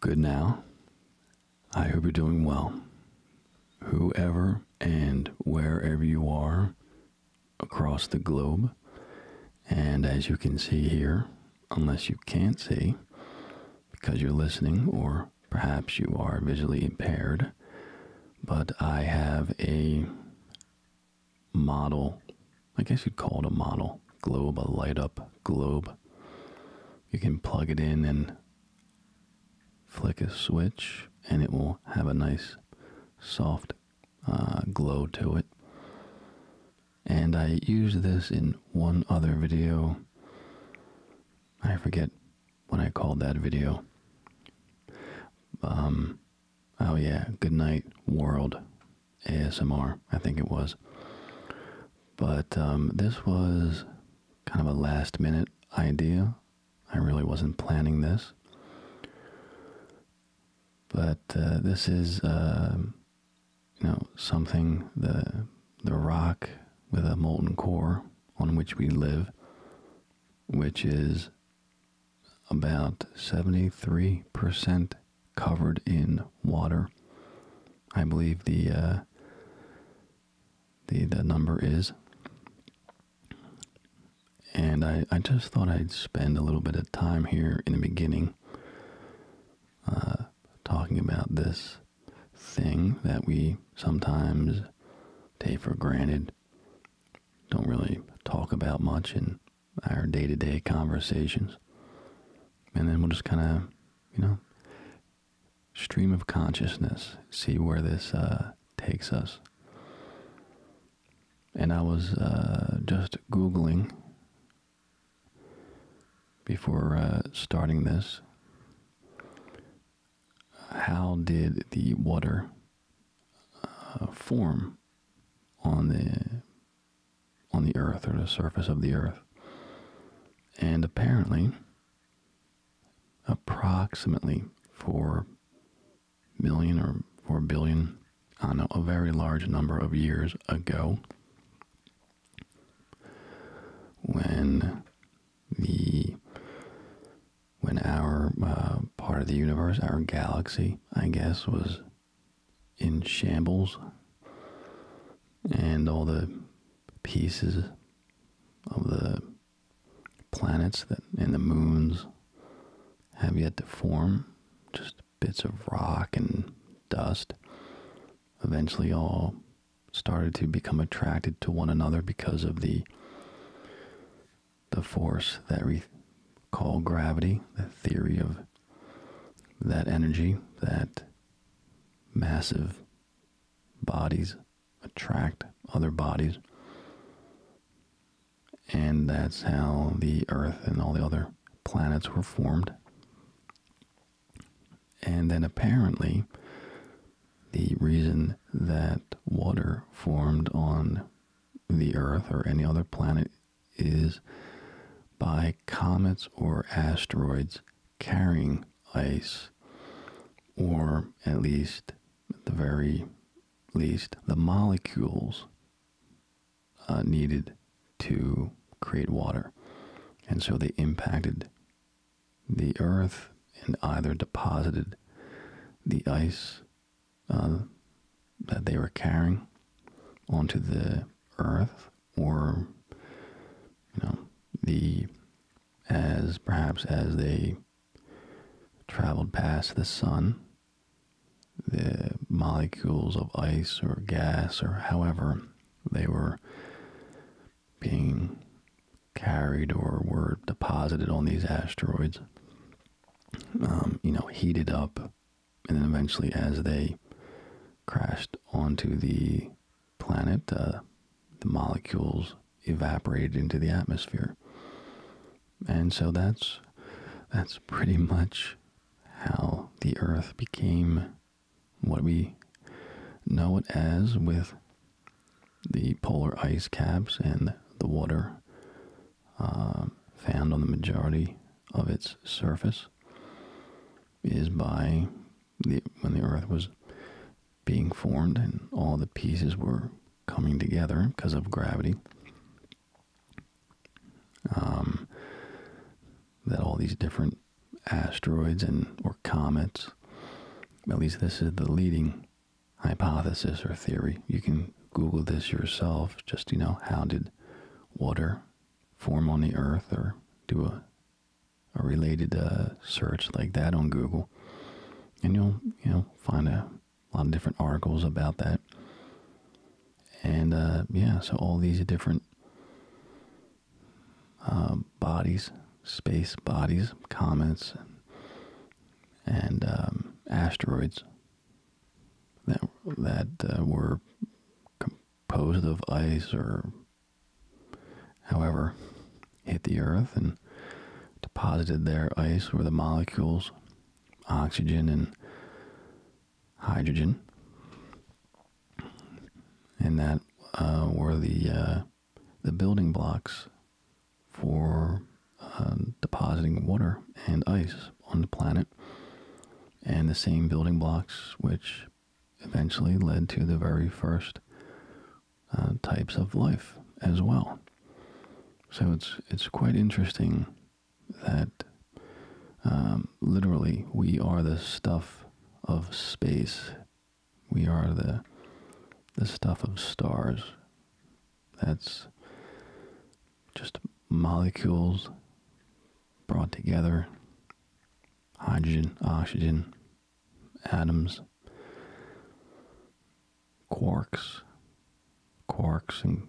Good now. I hope you're doing well. Whoever and wherever you are across the globe, and as you can see here, unless you can't see because you're listening or perhaps you are visually impaired, but I have a model I guess you'd call it a model globe, a light up globe. You can plug it in and flick a switch, and it will have a nice soft uh, glow to it. And I used this in one other video. I forget what I called that video. Um, oh yeah, good night world ASMR, I think it was. But um, this was kind of a last minute idea. I really wasn't planning this. But uh, this is, um, you know, something the the rock with a molten core on which we live, which is about seventy three percent covered in water. I believe the uh, the the number is. And I, I just thought I'd spend a little bit of time here in the beginning uh, talking about this thing that we sometimes take for granted, don't really talk about much in our day to day conversations. And then we'll just kind of you know, stream of consciousness, see where this uh, takes us. And I was uh, just Googling before uh, starting this how did the water form on the on the earth or the surface of the earth. And apparently, approximately 4 million or 4 billion, I know, a very large number of years ago, when the when our uh, part of the universe, our galaxy, I guess, was in shambles, and all the pieces of the planets that and the moons have yet to form, just bits of rock and dust, eventually all started to become attracted to one another because of the the force that we call gravity, the theory of that energy that massive bodies attract other bodies. And that's how the Earth and all the other planets were formed. And then apparently, the reason that water formed on the Earth or any other planet is by comets or asteroids carrying ice, or at least, the very least, the molecules uh, needed to create water. And so they impacted the earth and either deposited the ice uh, that they were carrying onto the earth or you know the as perhaps as they traveled past the sun the molecules of ice or gas or however they were being carried or were deposited on these asteroids um, you know heated up and then eventually as they crashed onto the planet, uh, the molecules evaporated into the atmosphere. And so that's that's pretty much how the Earth became what we know it as with the polar ice caps and the water uh, found on the majority of its surface is by when the earth was being formed and all the pieces were coming together because of gravity. Um, that all these different asteroids and or comets, at least this is the leading hypothesis or theory. You can Google this yourself. Just you know, how did water form on the Earth, or do a a related uh, search like that on Google, and you'll you know find a lot of different articles about that. And uh, yeah, so all these different uh, bodies, space bodies, comets, and um, asteroids that that were composed of ice or however, hit the earth and deposited their ice where the molecules oxygen and hydrogen and that uh, were the uh, the building blocks for uh, depositing water and ice on the planet and the same building blocks which eventually led to the very first uh, types of life as well. So it's it's quite interesting that um, literally we are the stuff of space. We are the the stuff of stars. That's just molecules brought together hydrogen, oxygen, atoms, quarks, quarks, and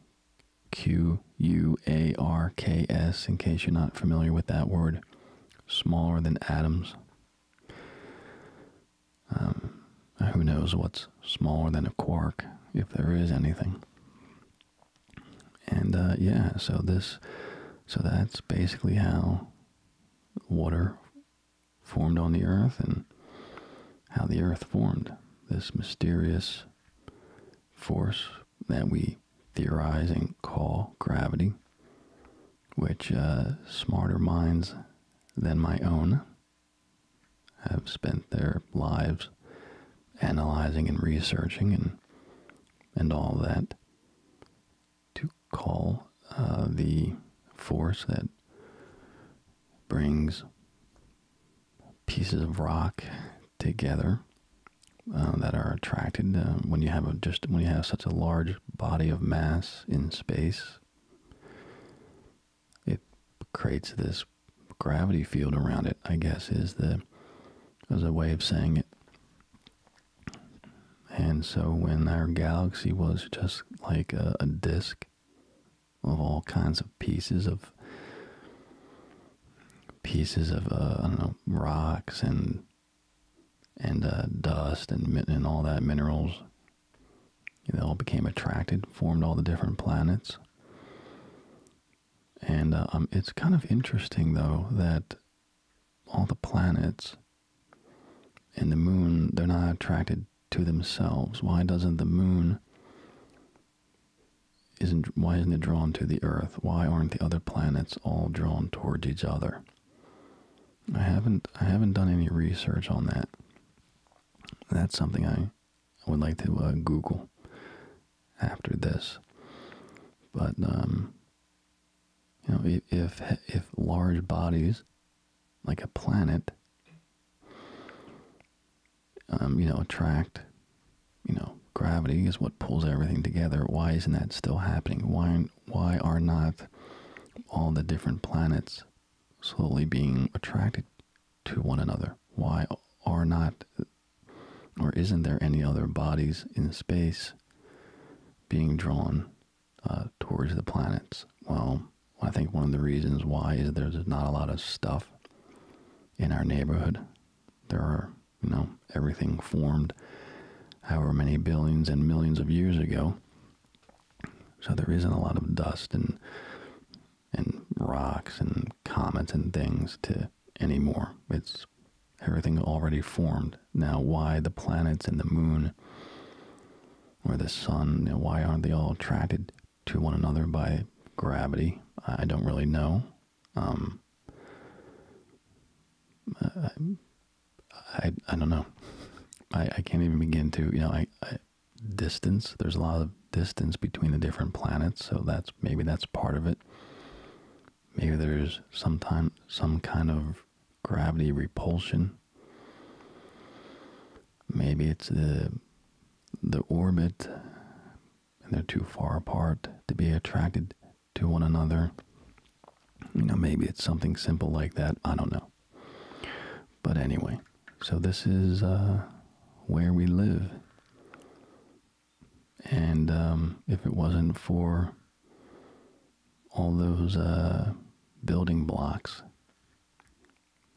Q U A R K S, in case you're not familiar with that word, smaller than atoms. Um, who knows what's smaller than a quark, if there is anything? and uh, yeah, so this, so that's basically how water formed on the earth and how the earth formed. This mysterious force that we theorize and call gravity, which uh, smarter minds than my own have spent their lives analyzing and researching and and all that to call uh, the force that brings pieces of rock together uh, that are attracted uh, when you have just when you have such a large body of mass in space. It creates this gravity field around it. I guess is the is a way of saying it. And so, when our galaxy was just like a, disk of all kinds of pieces of pieces of uh, I don't know rocks and and uh, dust and and all that minerals, they all became attracted, formed all the different planets. And uh, um, it's kind of interesting though that all the planets and the moon, they're not attracted to themselves. Why doesn't the moon isn't why isn't it drawn to the earth? Why aren't the other planets all drawn towards each other? I haven't I haven't done any research on that. That's something I would like to uh, Google after this. But um, you know, if if large bodies, like a planet, um, you know, attract, you know, gravity is what pulls everything together. Why isn't that still happening? Why why are not all the different planets slowly being attracted to one another? Why are not or isn't there any other bodies in space being drawn uh, towards the planets? Well, I think one of the reasons why is there's not a lot of stuff in our neighborhood. There are, you know, everything formed however many billions and millions of years ago. So there isn't a lot of dust and and rocks and comets and things to anymore. It's universe, everything already formed. Now, why the planets and the moon or the sun, why aren't they all attracted to one another by gravity? I don't really know. Um, I, I, don't know. I, I can't even begin to, you know, I distance. There's a lot of distance between the different planets, so that's maybe that's part of it. Maybe there's sometime some kind of gravity repulsion. Maybe it's the the orbit and they're too far apart to be attracted to one another. You know, maybe it's something simple like that. I don't know. But anyway, so this is uh, where we live. And um, if it wasn't for all those uh, building blocks,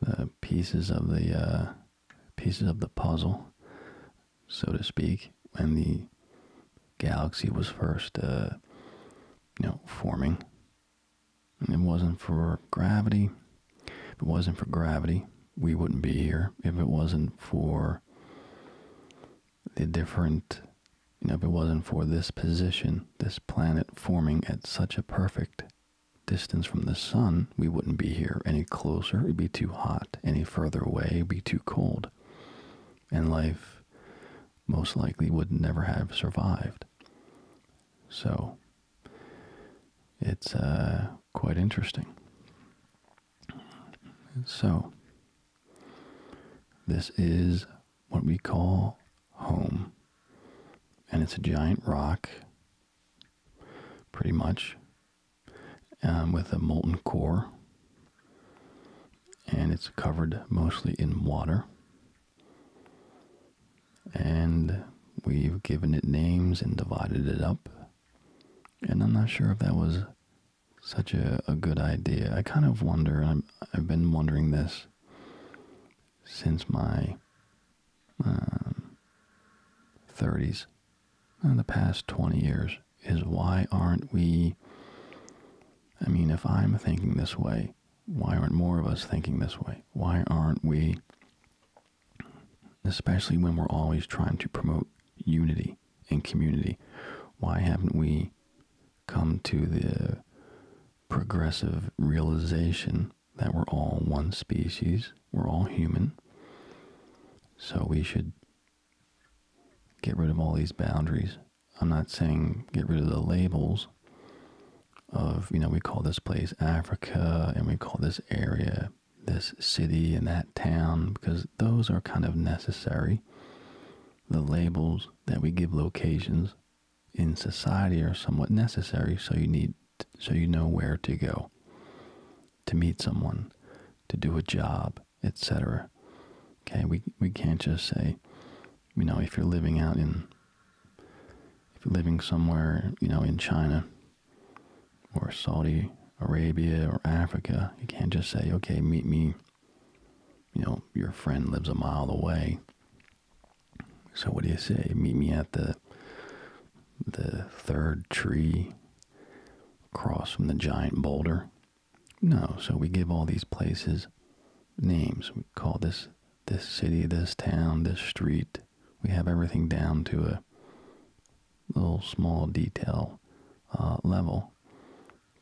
the pieces of the uh, pieces of the puzzle, so to speak, and the galaxy was first, uh, you know, forming. it wasn't for gravity. If it wasn't for gravity, we wouldn't be here. If it wasn't for the different, you know, if it wasn't for this position, this planet forming at such a perfect distance from the sun, we wouldn't be here any closer. It'd be too hot. Any further away, it'd be too cold. And life most likely would never have survived. So it's uh, quite interesting. So this is what we call home. And it's a giant rock, pretty much, um, with a molten core. And it's covered mostly in water. And we've given it names and divided it up. And I'm not sure if that was such a, a good idea. I kind of wonder, i have been wondering this since my 30s, um, in uh, the past 20 years, is why aren't we, I mean, if I'm thinking this way, why aren't more of us thinking this way? Why aren't we, especially when we're always trying to promote unity? unity and community. Why haven't we come to the progressive realization that we're all one species, we're all human, so we should get rid of all these boundaries? I'm not saying get rid of the labels of, you know, we call this place Africa and we call this area this city and that town because those are kind of necessary the labels that we give locations in society are somewhat necessary so you need so you know where to go to meet someone to do a job etc okay we we can't just say you know if you're living out in if you're living somewhere you know in China or Saudi Arabia or Africa you can't just say okay meet me you know, your friend lives a mile away. So what do you say? Meet me at the the third tree across from the giant boulder? No, so we give all these places names. We call this this city, this town, this street. We have everything down to a little small detail uh, level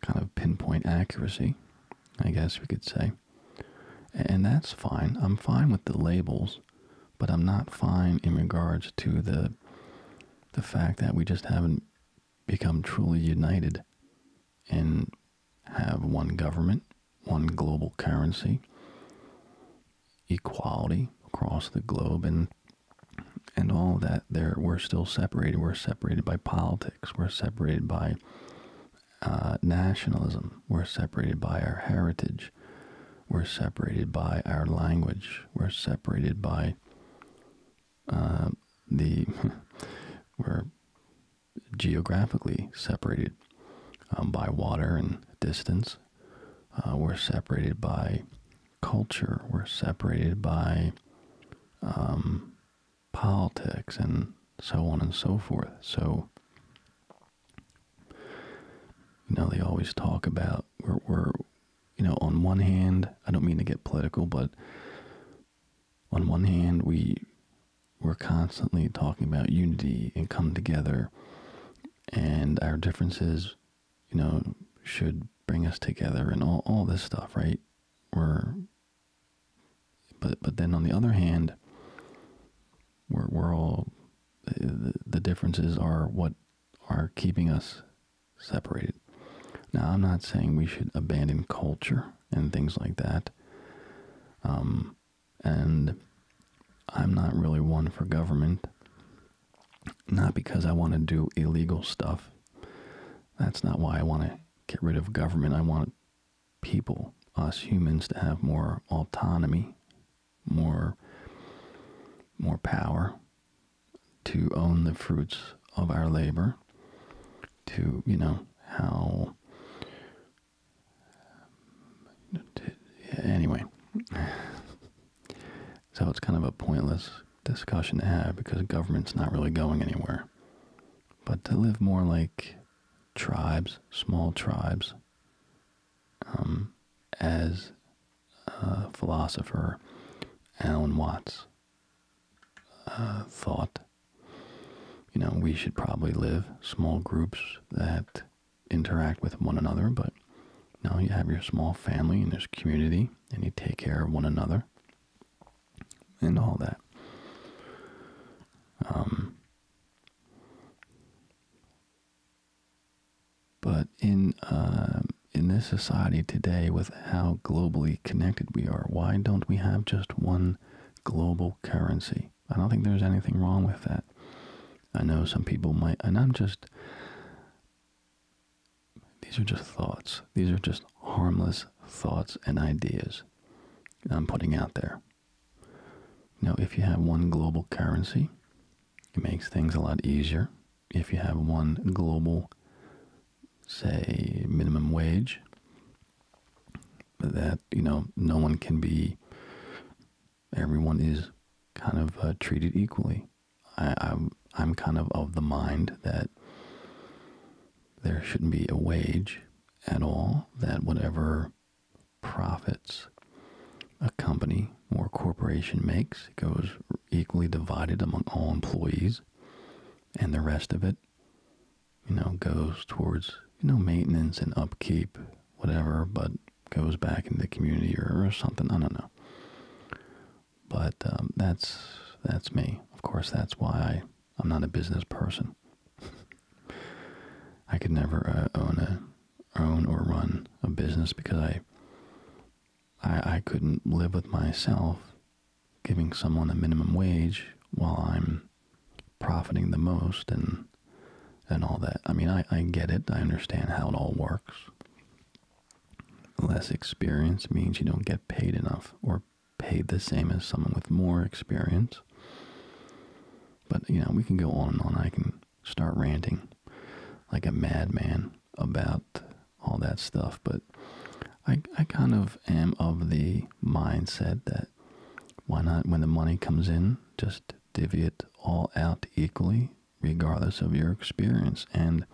kind of pinpoint accuracy, I guess we could say. And that's fine. I'm fine with the labels, but I'm not fine in regards to the the fact that we just haven't become truly united and have one government, one global currency, equality across the globe and and all that there we're still separated we're separated by politics we're separated by uh, nationalism we're separated by our heritage we're separated by our language we're separated by uh, the we geographically separated um, by water and distance uh, we're separated by culture we're separated by um, politics and so on and so forth. So, you know, they always talk about we're, you know, on one hand, I don't mean to get political, but on one hand, we we're constantly talking about unity and come together, and our differences, you know, should bring us together and all, all this stuff, right? We're but but then on the other hand, we're we're all the, the differences are what are keeping us separated. Now I'm not saying we should abandon culture and things like that. Um, and I'm not really one for government. Not because I want to do illegal stuff. That's not why I want to get rid of government. I want people, us humans, to have more autonomy, more, more power to own the fruits of our labor, to, you know, how. anyway. so it's kind of a pointless discussion to have because government's not really going anywhere but to live more like tribes, small tribes, um, as philosopher Alan Watts uh, thought. You know, we should probably live small groups that interact with one another, but now you have your small family and there's community, and you take care of one another and all that. Um, but in uh, in this society today, with how globally connected we are, why don't we have just one global currency? I don't think there's anything wrong with that. I know some people might, and I'm just. These are just thoughts. These are just harmless thoughts and ideas I'm putting out there. Now, if you have one global currency, it makes things a lot easier. If you have one global, say, minimum wage, that, you know, no one can be, everyone is kind of uh, treated equally. I'm, I'm kind of of the mind that there shouldn't be a wage at all, that whatever profits a company or corporation makes goes equally divided among all employees, and the rest of it, you know, goes towards, you know, maintenance and upkeep, whatever, but goes back in the community or, something. I don't know. But um, that's that's me. Of course, that's why I I'm not a business person. I could never uh, own a own or run a business because I, I I couldn't live with myself giving someone a minimum wage while I'm profiting the most and and all that. I mean, I, I get it. I understand how it all works. Less experience means you don't get paid enough or paid the same as someone with more experience. But, you know, we can go on and on. I can start ranting like a madman about all that stuff. But I, I kind of am of the mindset that why not, when the money comes in, just divvy it all out equally, regardless of your experience. And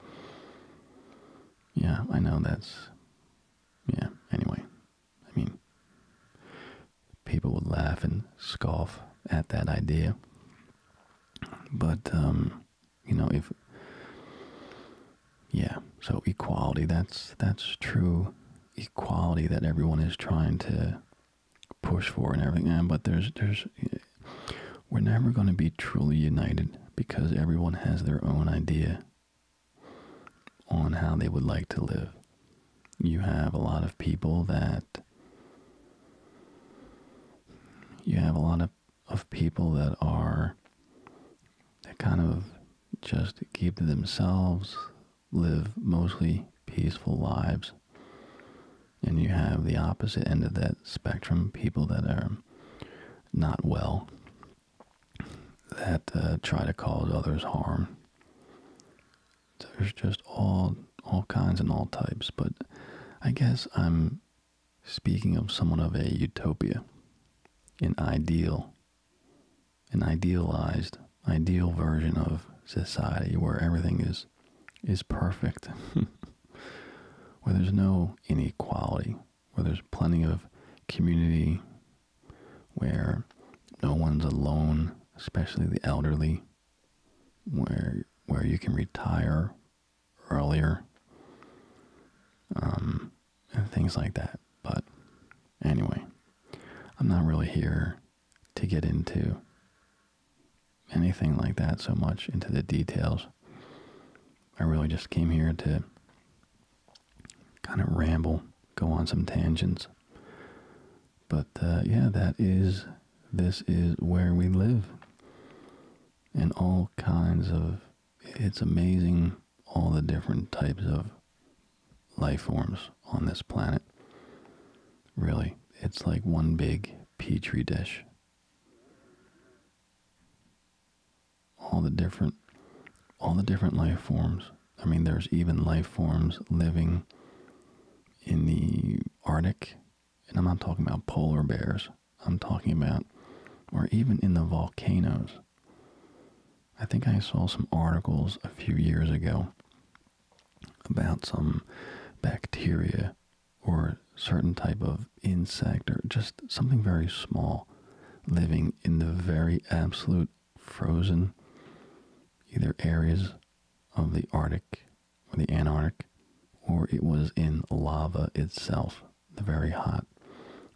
yeah, I know that's yeah, anyway, I mean, people would laugh and scoff at that idea. But, um, you know, if, yeah, so equality, that's, that's true equality that everyone is trying to push for and everything. Yeah, but there's, there's, we're never going to be truly united because everyone has their own idea on how they would like to live. You have a lot of people that you have a lot of, of people that are that kind of just keep to themselves, live mostly peaceful lives. And you have the opposite end of that spectrum, people that are not well, that uh, try to cause others harm. There's just all all kinds and all types, but I guess I'm speaking of someone of a utopia, an ideal, an idealized, ideal version of society where everything is is perfect, where there's no inequality, where there's plenty of community, where no one's alone, especially the elderly, where where you can retire earlier, um, and things like that. But anyway, I'm not really here to get into anything like that so much into the details. I really just came here to kind of ramble, go on some tangents. But uh, yeah, that is, this is where we live. And all kinds of, it's amazing all the different types of life forms on this planet. Really, it's like one big petri dish all the different all the different life forms. I mean, there's even life forms living in the Arctic, and I'm not talking about polar bears. I'm talking about, or even in the volcanoes. I think I saw some articles a few years ago about some bacteria or certain type of insect or just something very small living in the very absolute frozen either areas of the Arctic or the Antarctic, or it was in lava itself, the very hot,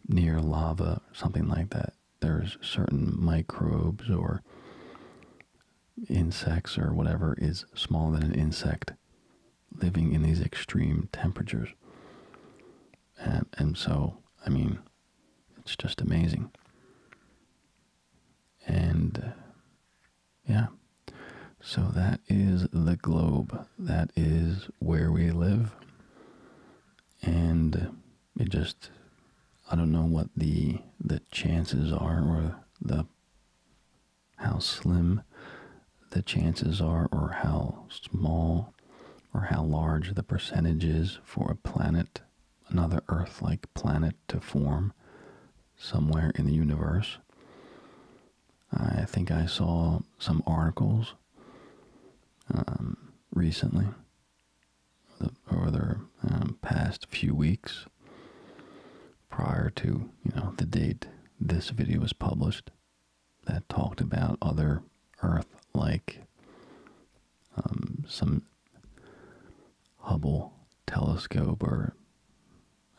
near lava, something like that. There's certain microbes or insects or whatever is smaller than an insect living in these extreme temperatures. And, and so, I mean, it's just amazing. And uh, yeah, so that is the globe. That is where we live. And uh, it just, I don't know what the the chances are or the how slim the chances are or how small or how large the percentage is for a planet, another Earth like planet, to form somewhere in the universe. I think I saw some articles um, recently, over the um, past few weeks, prior to you know the date this video was published, that talked about other Earth like um, some Hubble telescope or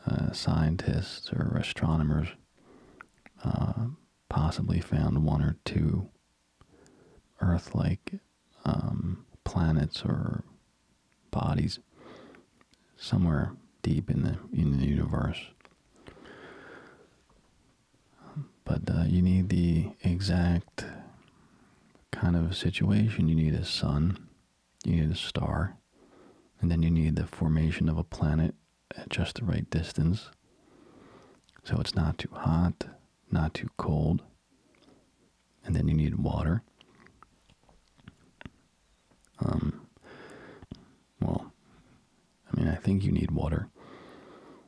uh, scientists or astronomers uh, possibly found one or two Earth like um, planets or bodies somewhere deep in the in the universe but uh, you need the exact kind of situation. You need a sun, you need a star, and then you need the formation of a planet at just the right distance. So it's not too hot, not too cold. And then you need water. Um, well, I mean, I think you need water,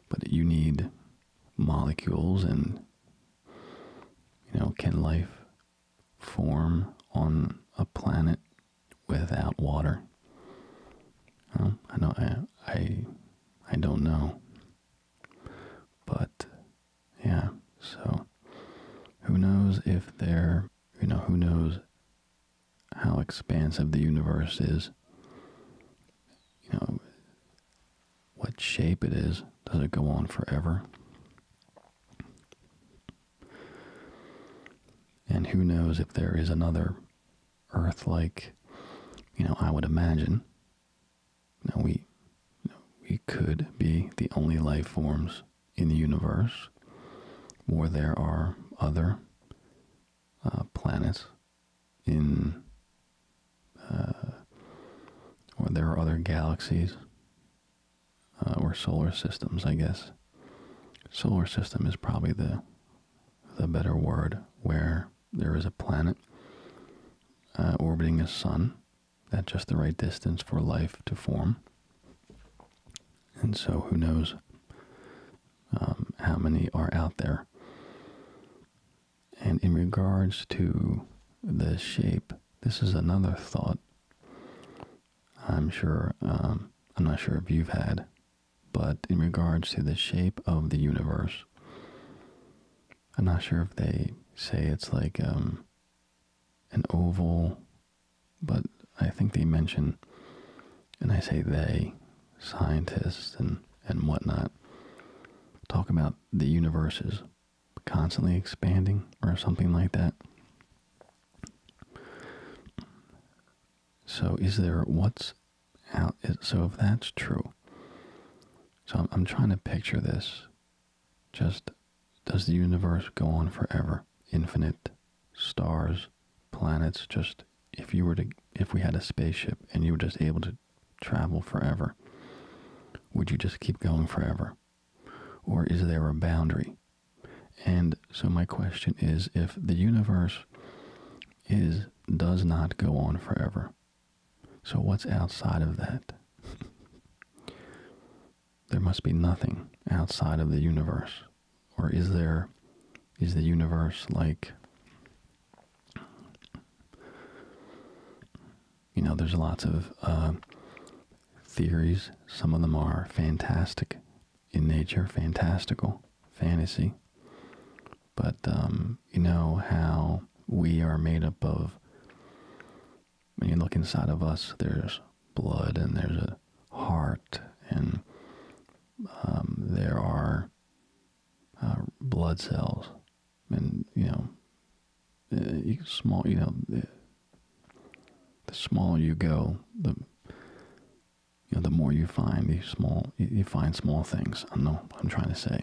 but you need molecules and, you know, can life form on a planet without water? I know I, I I don't know. But yeah, so who knows if there you know who knows how expansive the universe is you know, what shape it is. Does it go on forever? And who knows if there is another Earth like, you know, I would imagine. You we, we could be the only life forms in the universe, or there are other uh, planets in uh, or there are other galaxies uh, or solar systems, I guess. Solar system is probably the the better word, where there is a planet uh, orbiting a sun at just the right distance for life to form. And so, who knows? Um, how many are out there. And in regards to the shape, this is another thought. I'm sure, um, I'm not sure if you've had, but in regards to the shape of the universe, I'm not sure if they say it's like um, an oval, but I think they mention and I say they, scientists and, and whatnot, talk about the universe is constantly expanding or something like that. So is there what's out? So if that's true, so I'm, I'm trying to picture this. Just does the universe go on forever? Infinite stars, planets. Just if you were to, if we had a spaceship and you were just able to travel forever? Would you just keep going forever? Or is there a boundary? And so my question is if the universe is does not go on forever. So what's outside of that? there must be nothing outside of the universe. Or is there is the universe like you know there's lots of uh, theories some of them are fantastic in nature fantastical fantasy but um, you know how we are made up of when you look inside of us there's blood and there's a heart and um, there are uh, blood cells, and you know, uh, small, you know, the, smaller you go, the you know, the more you find these small, you find small things. I know what I'm trying to say.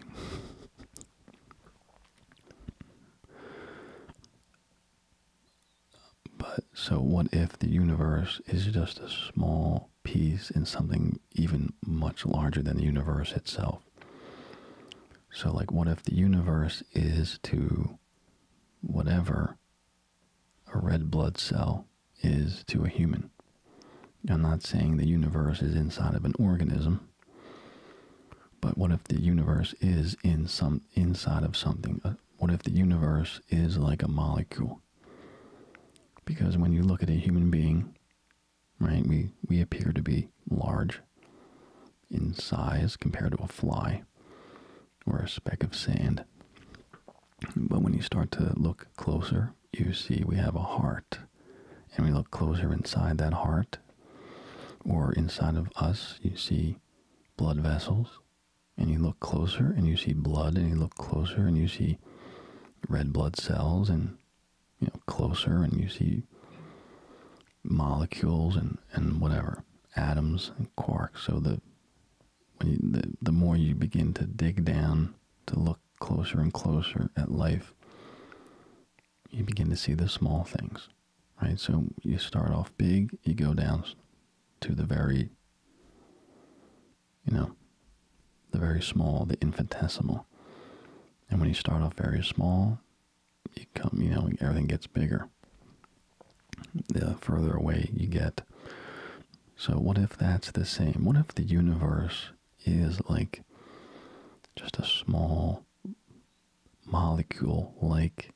But so, what if the universe is just a small Peace in something even much larger than the universe itself. So, like, what if the universe is to whatever a red blood cell is to a human? I'm not saying the universe is inside of an organism, but what if the universe is in some inside of something? Uh, what if the universe is like a molecule? Because when you look at a human being, right? We, we appear to be large in size compared to a fly or a speck of sand. But when you start to look closer, you see we have a heart. And we look closer inside that heart or inside of us, you see blood vessels. And you look closer and you see blood, and you look closer and you see red blood cells and you know closer and you see molecules and and whatever atoms and quarks so the the more you begin to dig down to look closer and closer at life you begin to see the small things right so you start off big you go down to the very you know, the very small, the infinitesimal. And when you start off very small, you come, you know, everything gets bigger. The further away you get. So what if that's the same? What if the universe is like just a small molecule like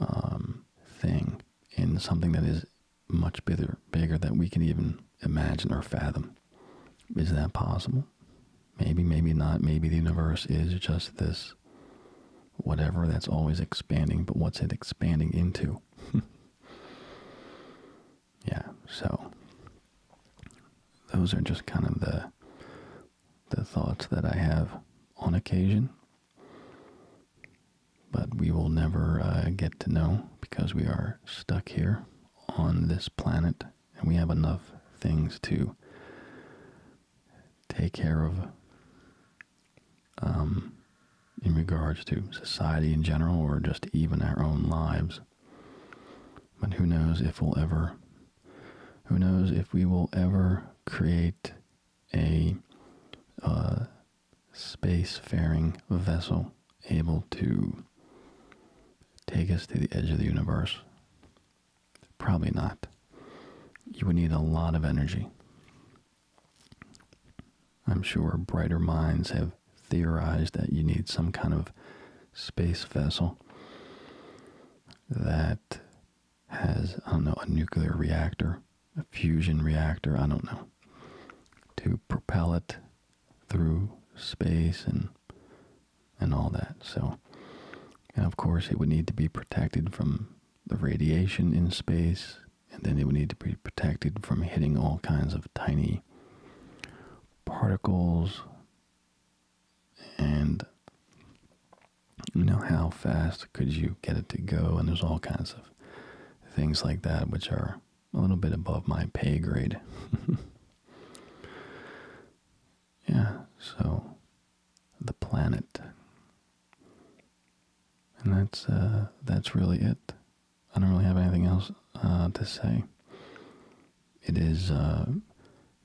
um, thing in something that is much bigger, bigger than we can even imagine or fathom. Is that possible? Maybe, maybe not. Maybe the universe is just this whatever that's always expanding, but what's it expanding into? yeah, so those are just kind of the the thoughts that I have on occasion. But we will never uh, get to know because we are stuck here on this planet, and we have enough things to take care of um, in regards to society in general or just even our own lives. But who knows if we'll ever, who knows if we will ever create a uh, Space-faring vessel able to take us to the edge of the universe? Probably not. You would need a lot of energy. I'm sure brighter minds have theorized that you need some kind of space vessel that has, I don't know, a nuclear reactor, a fusion reactor, I don't know, to propel it through space and and all that. So, of course, it would need to be protected from the radiation in space, and then it would need to be protected from hitting all kinds of tiny particles. And you know how fast could you get it to go? And there's all kinds of things like that, which are a little bit above my pay grade. yeah, so the planet. And that's uh, that's really it. I don't really have anything else uh, to say. It is uh,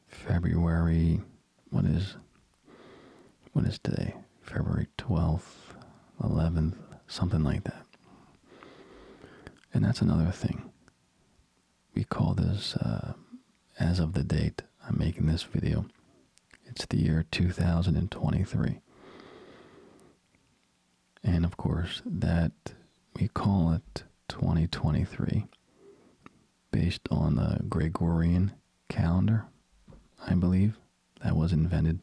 February what is what is today? February 12th, 11th, something like that. And that's another thing. We call this, uh, as of the date I'm making this video, it's the year 2023. And of course, that we call it 2023 based on the Gregorian calendar, I believe, that was invented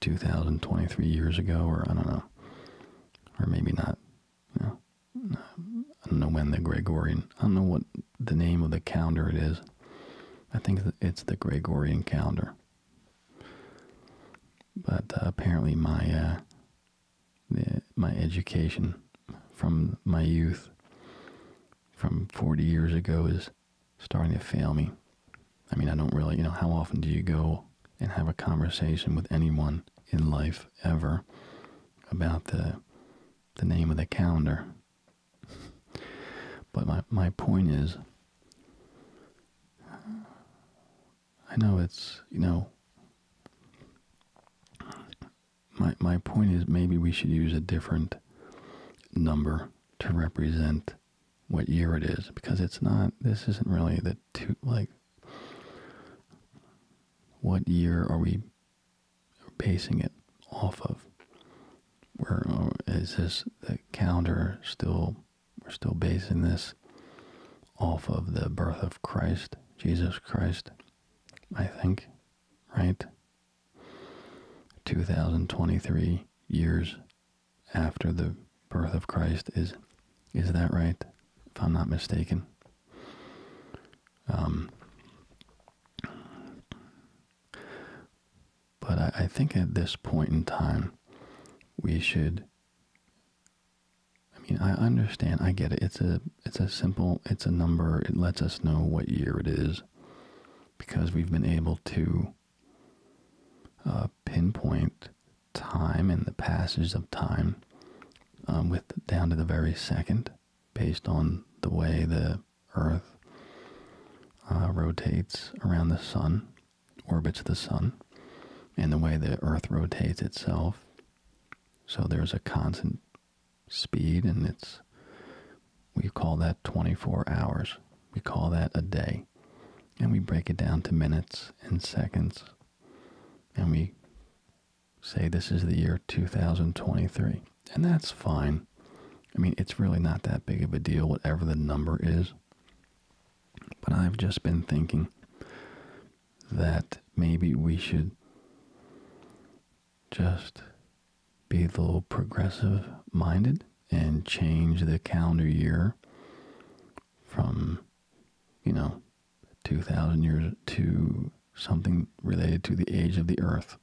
2023 years ago, or I don't know, or maybe not. I don't know when the Gregorian. I don't know what the name of the calendar it is. I think it's the Gregorian calendar. But uh, apparently, my uh, my education from my youth, from 40 years ago, is starting to fail me. I mean, I don't really, you know, how often do you go and have a conversation with anyone in life ever about the the name of the calendar? but my my point is I know it's, you know, my my point is maybe we should use a different number to represent what year it is because it's not this isn't really the two like what year are we basing it off of uh, Is this the calendar still we're still basing this off of the birth of Christ Jesus Christ I think right 2023 years after the birth of Christ is is that right if I'm not mistaken um, but I think at this point in time we should I mean I understand I get it it's a it's a simple it's a number it lets us know what year it is because we've been able to uh, pinpoint time and the passage of time um, with down to the very second based on the way the earth uh, rotates around the sun orbits the sun and the way the earth rotates itself so there's a constant speed and it's we call that 24 hours we call that a day. And we break it down to minutes and seconds. And we say this is the year 2023. And that's fine. I mean, it's really not that big of a deal, whatever the number is. But I've just been thinking that maybe we should just be a little progressive minded and change the calendar year from, you know, 2,000 years to something related to the age of the earth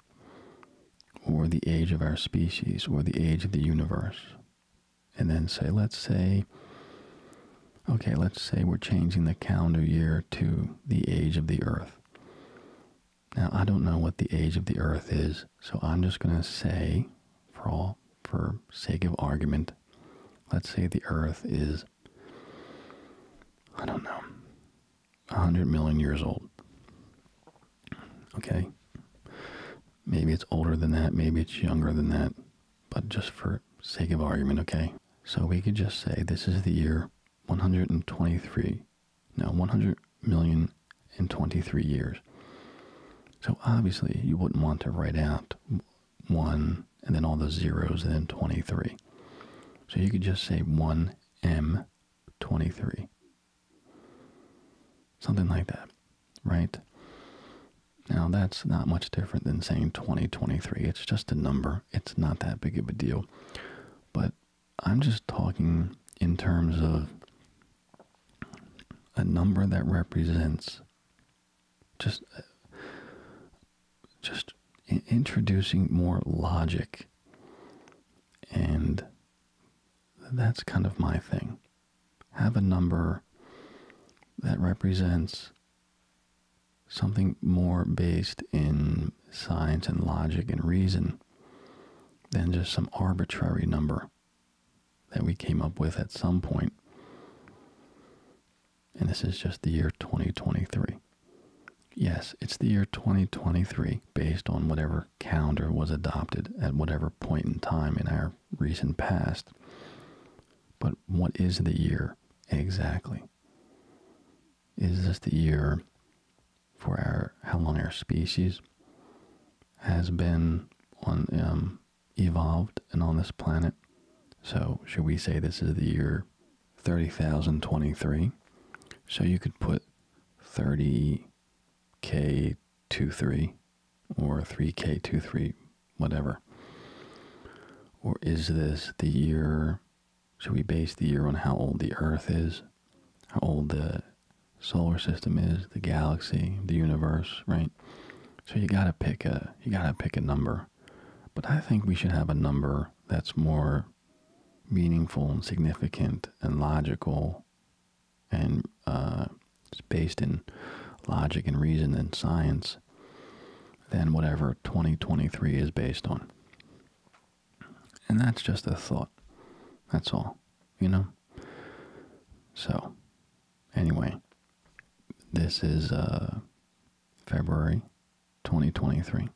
or the age of our species or the age of the universe. And then say, let's say, okay, let's say we're changing the calendar year to the age of the earth. Now, I don't know what the age of the earth is, so I'm just going to say, for all for sake of argument, let's say the Earth is, I don't know, 100 million years old. Okay? Maybe it's older than that, maybe it's younger than that, but just for sake of argument, okay? So we could just say this is the year 123. Now, 100 million in 23 years. So obviously, you wouldn't want to write out one and then all those zeros and then 23. So you could just say 1M23. Something like that, right? Now that's not much different than saying 2023. It's just a number. It's not that big of a deal. But I'm just talking in terms of a number that represents just uh, just introducing more logic and that's kind of my thing have a number that represents something more based in science and logic and reason than just some arbitrary number that we came up with at some And this is just the year 2023. Yes, it's the year 2023 based on whatever calendar was adopted at whatever point in time in our recent past. But what is the year exactly? Is this the year for our how long our species has been on um, evolved and on this planet. So, should we say this is the year 30,023? So, you could put 30K23 or 3K23, whatever. Or is this the year? Should we base the year on how old the Earth is? How old the solar system is, the galaxy, the universe, right? So you gotta pick a you gotta pick a number. But I think we should have a number that's more meaningful and significant and logical and uh, it's based in logic and reason and science than whatever 2023 is based on. And that's just a thought. That's all, you know? So, Anyway, this is uh, February 2023.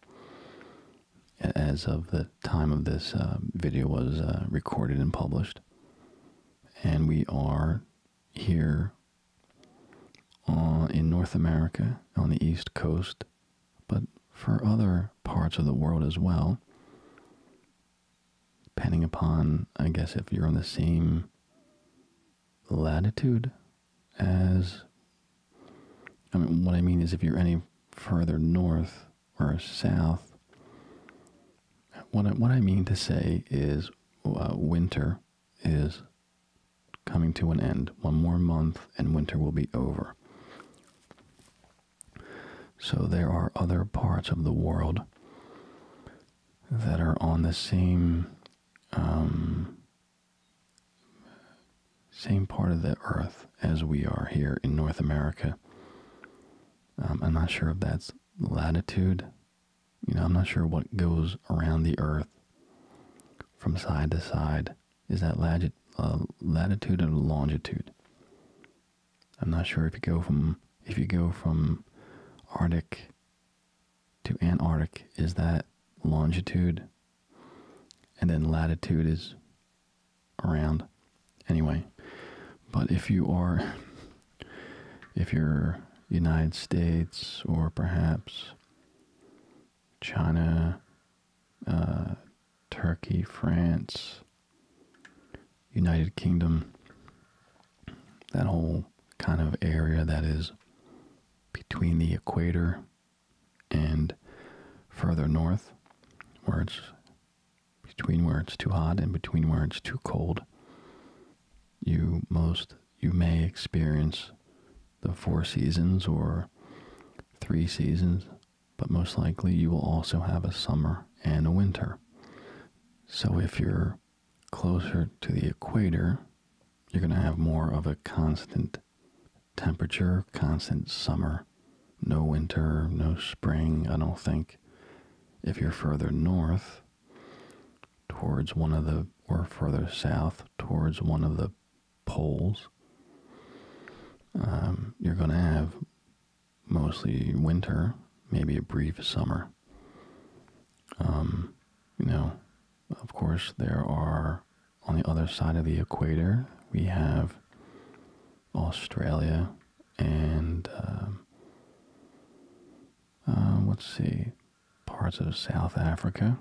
As of the time of this uh, video was uh, recorded and published, and we are here in North America on the East Coast, but for other parts of the world as well depending upon, I guess, if you're on the same latitude as. I mean, what I mean is if you're any further north or south. What I, what I mean to say is uh, winter is coming to an end. One more month and winter will be over. So there are other parts of the world that are on the same um, same part of the earth as we are here in North America. Um, I'm not sure if that's latitude. You know, I'm not sure what goes around the earth from side to side. Is that uh, latitude or longitude? I'm not sure if you go from if you go from Arctic to Antarctic, is that longitude? And then latitude is around. Anyway, but if you are if you're United States or perhaps China, uh, Turkey, France, United Kingdom, that whole kind of area that is between the equator and further north, where it's between where it's too hot and between where it's too cold, you most you may experience the four seasons or three seasons, but most likely you will also have a summer and a winter. So if you're closer to the equator, you're going to have more of a constant temperature, constant summer. No winter, no spring, I don't think. If you're further north, towards one of the, or further south, towards one of the poles, um, you're going to have mostly winter, maybe a brief summer. Um, you know, of course, there are on the other side of the equator, we have Australia and um, uh, let's see, parts of South Africa,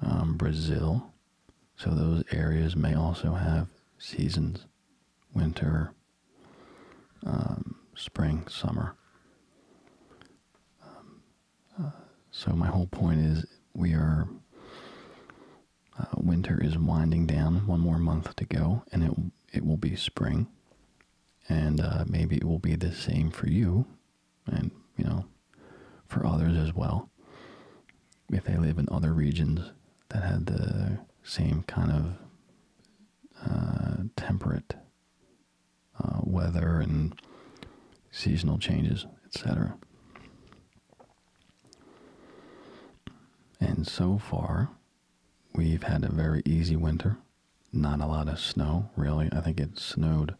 um, Brazil. So those areas may also have seasons winter, um, spring, summer. Um, uh, so my whole point is we are uh, winter is winding down. One more month to go, and it it will be spring, and uh, maybe it will be the same for you, and you know, for others as well. If they live in other regions that had the same kind of uh, temperate uh, weather and seasonal changes, etc. And so far, we've had a very easy winter. Not a lot of snow, really. I think it snowed.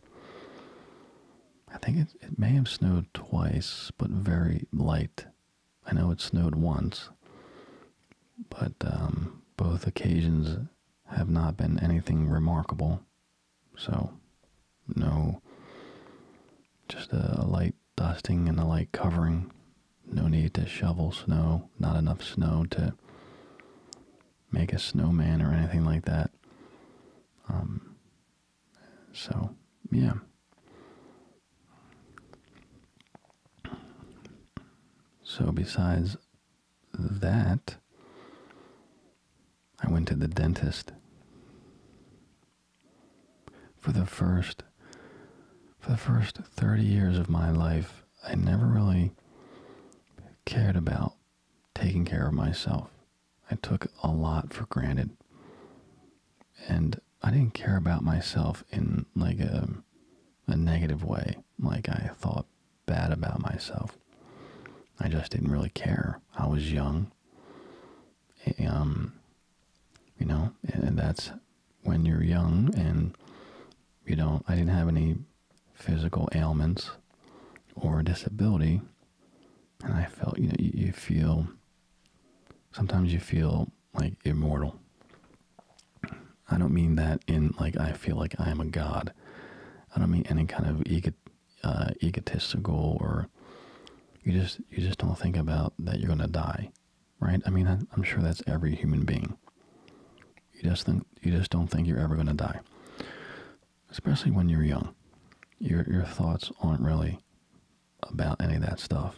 I think it may have snowed twice, but very light. I know it snowed once, but um, both occasions have not been anything remarkable. So, no, just a, light dusting and a light covering. No need to shovel snow, not enough snow to make a snowman or anything like that. Um, so, yeah. So, besides that, I went to the dentist for the first for the first 30 years of my life i never really cared about taking care of myself i took a lot for granted and i didn't care about myself in like a um, a negative way. Like I thought bad about myself. I just didn't really care. I was young. Um, you know, and that's when you're young and you don't, I didn't have any physical ailments or disability. And I felt, you know, you, you feel, sometimes you feel like immortal. I don't mean that in like I feel like I am a god. I don't mean any kind of ego, uh, egotistical or you just you just don't think about that you're gonna die, right? I mean I, I'm sure that's every human being. You just think you just don't think you're ever gonna die, especially when you're young. Your your thoughts aren't really about any of that stuff.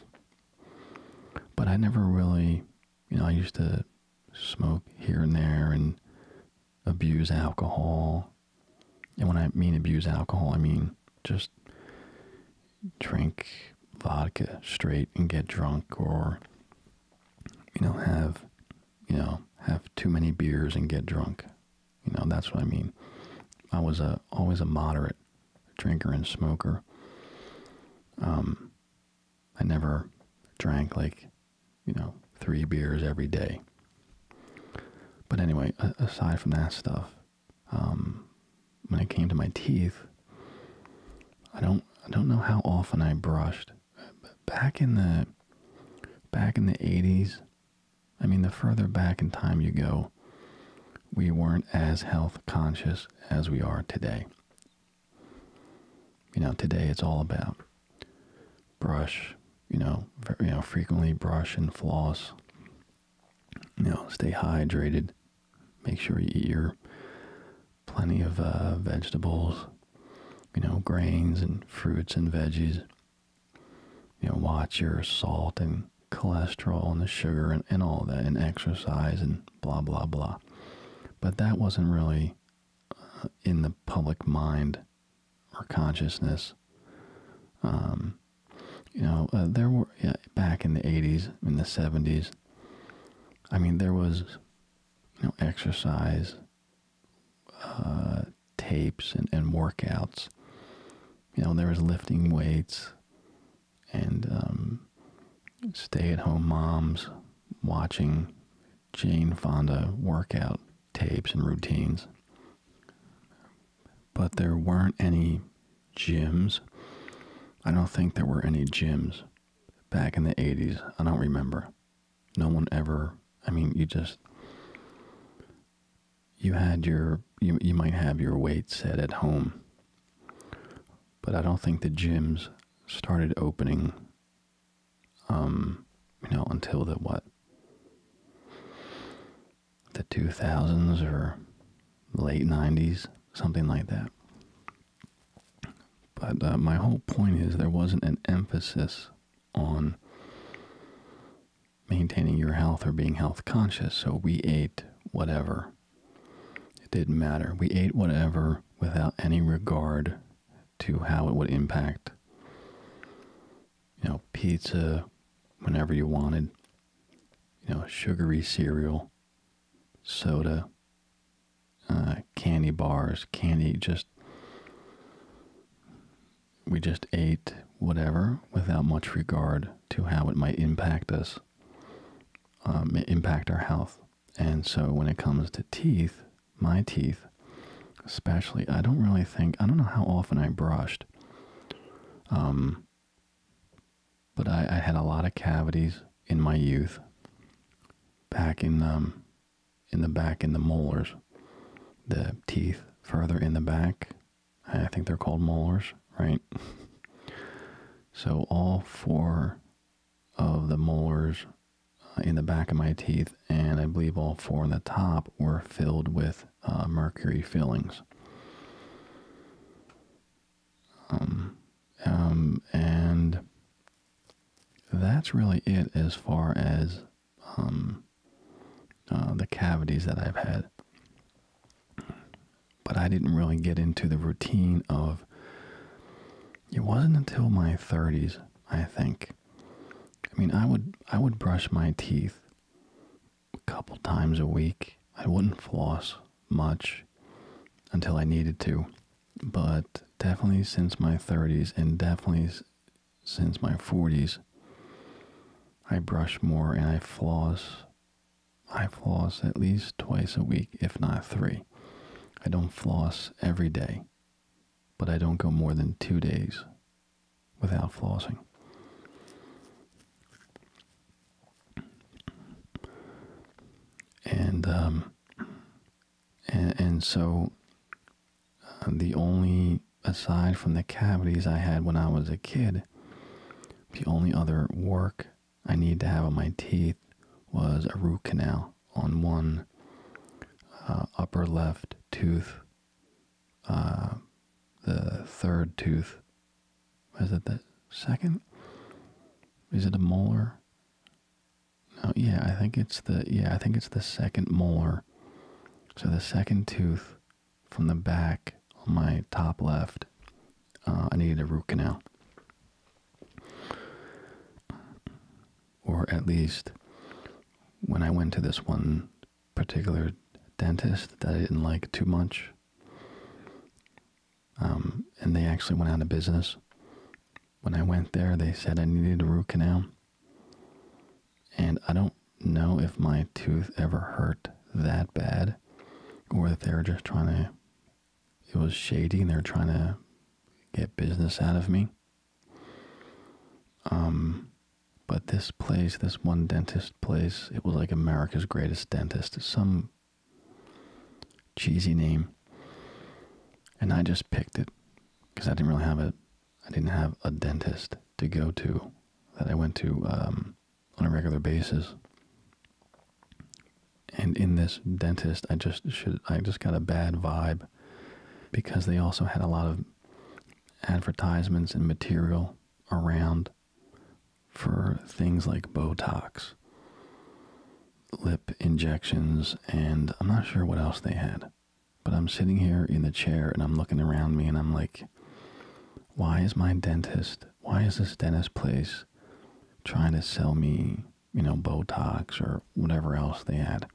But I never really you know, I used to smoke here and there and abuse alcohol. And when I mean abuse alcohol, I mean just drink vodka straight and get drunk or you know have you know have too many beers and get drunk you know that's what i mean i was a always a moderate drinker and smoker um, I never drank like, you know, three beers every day. But anyway, aside from that stuff, um, when it came to my teeth, I don't I don't know how often I brushed. but Back in the back in the 80s, I mean, the further back in time you go, we weren't as health conscious as we are today. You know, today it's all about brush, you know, you know, frequently brush and floss. You know, stay hydrated. Make sure you eat your plenty of uh, vegetables, you know, grains and fruits and veggies. You know, watch your salt and cholesterol and the sugar and, and all that and exercise and blah, blah, blah. But that wasn't really uh, in the public mind or consciousness. Um, you know, uh, there were yeah, back in the 80s, in the 70s, I mean, there was, you know, exercise uh, tapes and, and workouts. You know, there was lifting weights and, um, stay at home moms watching Jane Fonda workout tapes and routines. But there weren't any gyms. I don't think there were any gyms back in the 80s. I don't remember. No one ever, I mean, you just, you had your, you, you might have your weight set at home but I don't think the gyms started opening, um, you know, until the what? The 2000s or late 90s, something like that. But uh, my whole point is there wasn't an emphasis on maintaining your health or being health conscious, so we ate whatever it didn't matter. We ate whatever without any regard to how it would impact. You know, pizza whenever you wanted, you know, sugary cereal, soda, uh, candy bars, candy, just. We just ate whatever without much regard to how it might impact us, um, impact our health. And so when it comes to teeth, my teeth, especially, I don't really think, I don't know how often I brushed. Um, but I, had a lot of cavities in my youth, back in, um, in the back, in the molars, the teeth further in the back. I think they're called molars, right? so all four of the molars uh, in the back of my teeth, and I believe all four on the top were filled with uh, mercury fillings. Um, um, and that's really it as far as um, uh, the cavities that I've had. But I didn't really get into the routine of it wasn't until my 30s, I think. I mean, I would I would brush my teeth a couple times a week. I wouldn't floss much until I needed to, but definitely since my 30s and definitely since my 40s, I brush more and I floss. I floss at least twice a week, if not three. I don't floss every day, but I don't go more than two days without flossing. And, um, and, so uh, the only, aside from the cavities I had when I was a kid, the only other work I need to have on my teeth was a root canal on one uh, upper left tooth, uh, the third tooth. Is it the second? Is it a molar? No, yeah, I think it's the yeah, I think it's the second molar. So the second tooth from the back on my top left, uh, I needed a root canal. Or at least when I went to this one particular dentist that I didn't like too much, um, and they actually went out of business. When I went there, they said I needed a root canal. And I don't know if my tooth ever hurt that bad or that they were just trying to it was shady and they were trying to get business out of me. Um, but this place, this one dentist place, it was like America's greatest dentist, some cheesy name. And I just picked it because I didn't really have a, I didn't have a dentist to go to that I went to um, on a regular basis and in this dentist i just should i just got a bad vibe because they also had a lot of advertisements and material around for things like botox lip injections and i'm not sure what else they had but i'm sitting here in the chair and i'm looking around me and i'm like why is my dentist why is this dentist place trying to sell me you know, Botox or whatever else they had.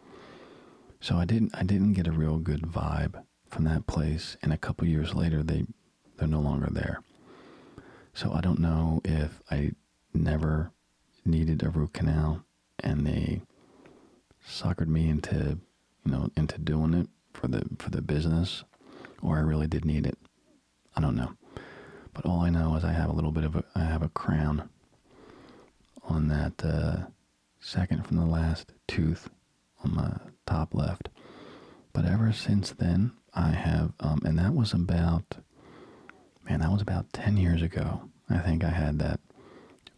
So I didn't I didn't get a real good vibe from that place and a couple years later they they're no longer there. So I don't know if I never needed a root canal and they suckered me into you know into doing it for the for the business or I really did need it. I don't know. But all I know is I have a little bit of a I have a crown on that uh, second from the last tooth on my top left. But ever since then, I have, um, and that was about, man, that was about 10 years ago. I think I had that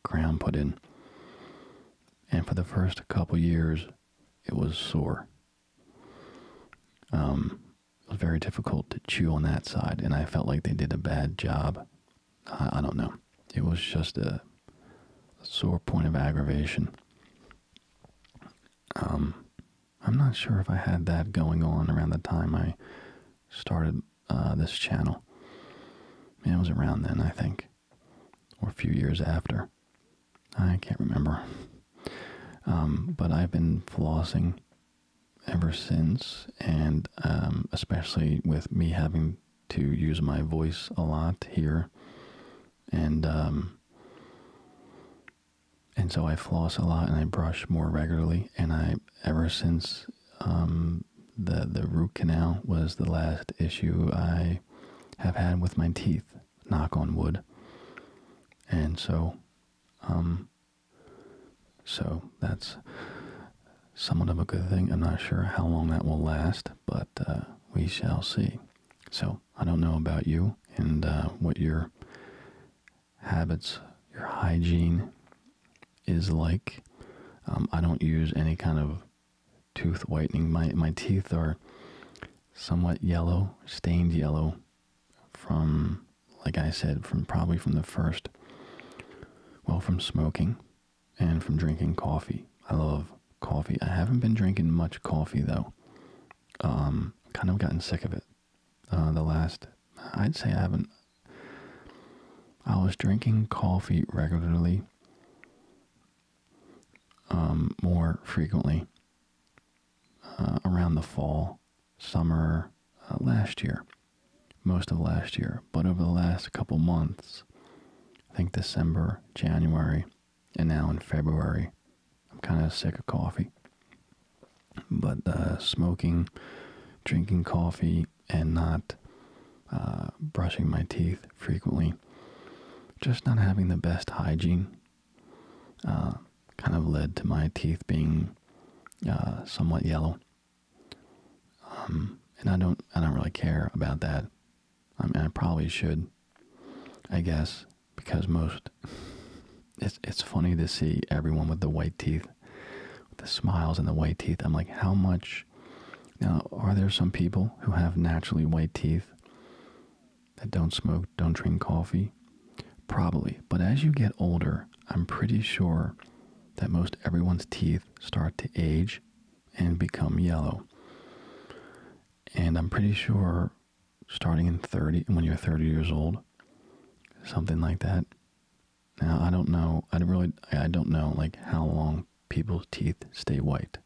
crown put in. And for the first couple years, it was sore. Um, it was very difficult to chew on that side, and I felt like they did a bad job. I, don't know. It was just a, sore point of aggravation. Um, I'm not sure if I had that going on around the time I started uh, this channel. it was around then, I think, or a few years after. I can't remember. Um, but I've been flossing ever since, and um, especially with me having to use my voice a lot here, and um, and so I floss a lot and I brush more regularly, and I ever since um, the the root canal was the last issue I have had with my teeth, knock on wood, and so so that's somewhat of a good thing. I'm not sure how long that will last, but uh, we shall see. So I don't know about you and uh, what your habits, your hygiene is like. Um, I don't use any kind of tooth whitening. My, my teeth are somewhat yellow, stained yellow from like I said, from probably from the first, well, from smoking and from drinking coffee. I love coffee. I haven't been drinking much coffee though. Um, kind of gotten sick of it. Uh, the last, I'd say I haven't. I was drinking coffee regularly, um, more frequently uh, around the fall summer uh, last year, most of last year. But over the last couple months, I think December, January, and now in February, I'm kind of sick of coffee. But uh, smoking, drinking coffee, and not uh, brushing my teeth frequently, just not having the best hygiene, kind of led to my teeth being somewhat yellow um, and I don't, I don't really care about that. I mean, I probably should, I guess, because most. It's it's funny to see everyone with the white teeth, the smiles and the white teeth. I'm like, how much? are there some people who have naturally white teeth that don't smoke, don't drink coffee? Probably. But as you get older, I'm pretty sure that most everyone's teeth start to age and become yellow. And I'm pretty sure starting in 30, when you're 30 years old, something like that. Now, I don't know, I don't really, I don't know like how long people's teeth stay white.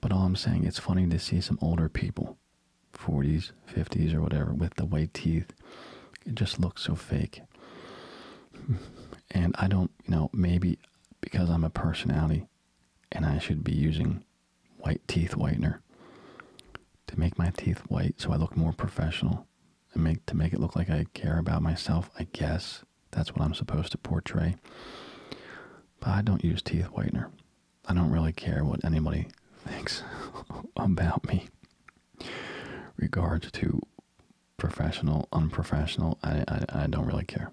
But all I'm saying, it's funny to see some older people, 40s, 50s, or whatever with the white teeth. It just looks so fake. And I don't, you know, maybe because I'm a personality and I should be using white teeth whitener to make my teeth white so I look more professional and make to make it look like I care about myself, I guess. That's what I'm supposed to portray. But I don't use teeth whitener. I don't really care what anybody thinks about me. Regard to professional, unprofessional, I, I, don't really care.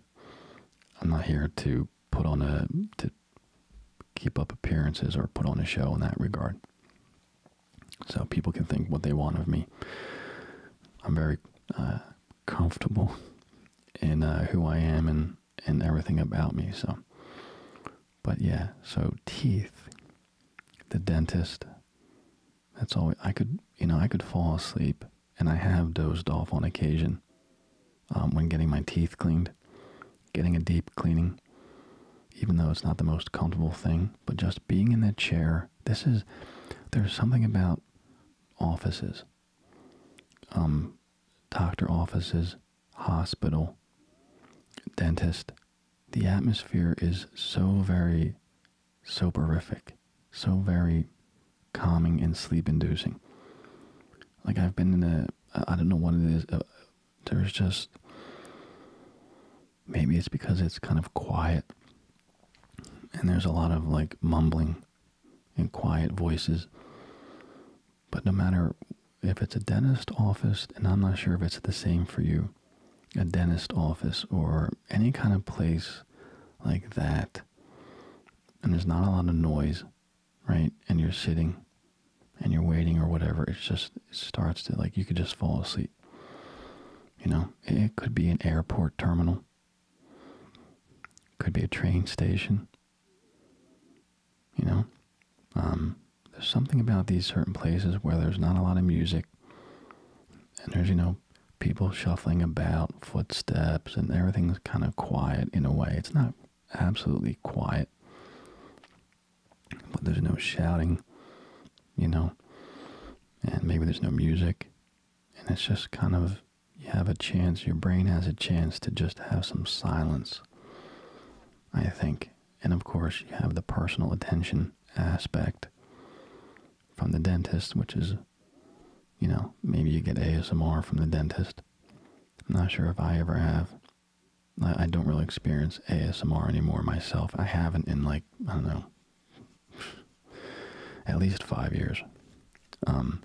I'm not here to put on a, to keep up appearances or put on a show in that regard. So people can think what they want of me. I'm very uh, comfortable in uh, who I am and, and everything about me. So, but yeah, so teeth the dentist. That's all I could, you know, I could fall asleep, and I have dozed off on occasion um, when getting my teeth cleaned, getting a deep cleaning, even though it's not the most comfortable thing. But just being in that chair, this is there's something about offices, um, doctor offices, hospital, dentist the atmosphere is so very soporific, so very calming and sleep inducing. Like I've been in a, I don't know what it is. Uh, there's just, maybe it's because it's kind of quiet and there's a lot of like mumbling and quiet voices. But no matter if it's a dentist office, and I'm not sure if it's the same for you, a dentist office or any kind of place like that and there's not a lot of noise right and you're sitting and you're waiting or whatever It just starts to like you could just fall asleep you know it could be an airport terminal could be a train station you know um there's something about these certain places where there's not a lot of music and there's you know people shuffling about footsteps and everything's kind of quiet in a way it's not absolutely quiet but there's no shouting you know and maybe there's no music and it's just kind of you have a chance your brain has a chance to just have some silence i think and of course, you have the personal attention aspect from the dentist, which is, you know, maybe you get ASMR from the dentist. I'm not sure if I ever have. I, don't really experience ASMR anymore myself. I haven't in like, I don't know, at least five years. Um,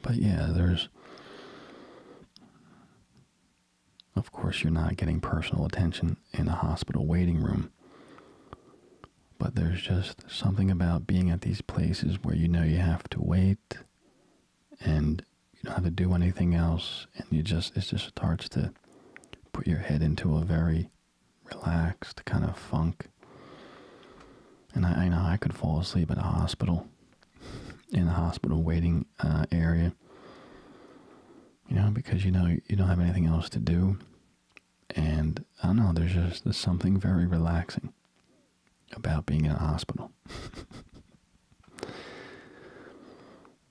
but yeah, there's of course, you're not getting personal attention in a hospital waiting room. But there's just something about being at these places where you know you have to wait and you don't have to do anything else and you just it just starts to put your head into a very relaxed kind of funk. And I, know I could fall asleep at a hospital in a hospital waiting uh, area. You know, because you know you don't have anything else to do, and I know. There's just there's something very relaxing about being in a hospital.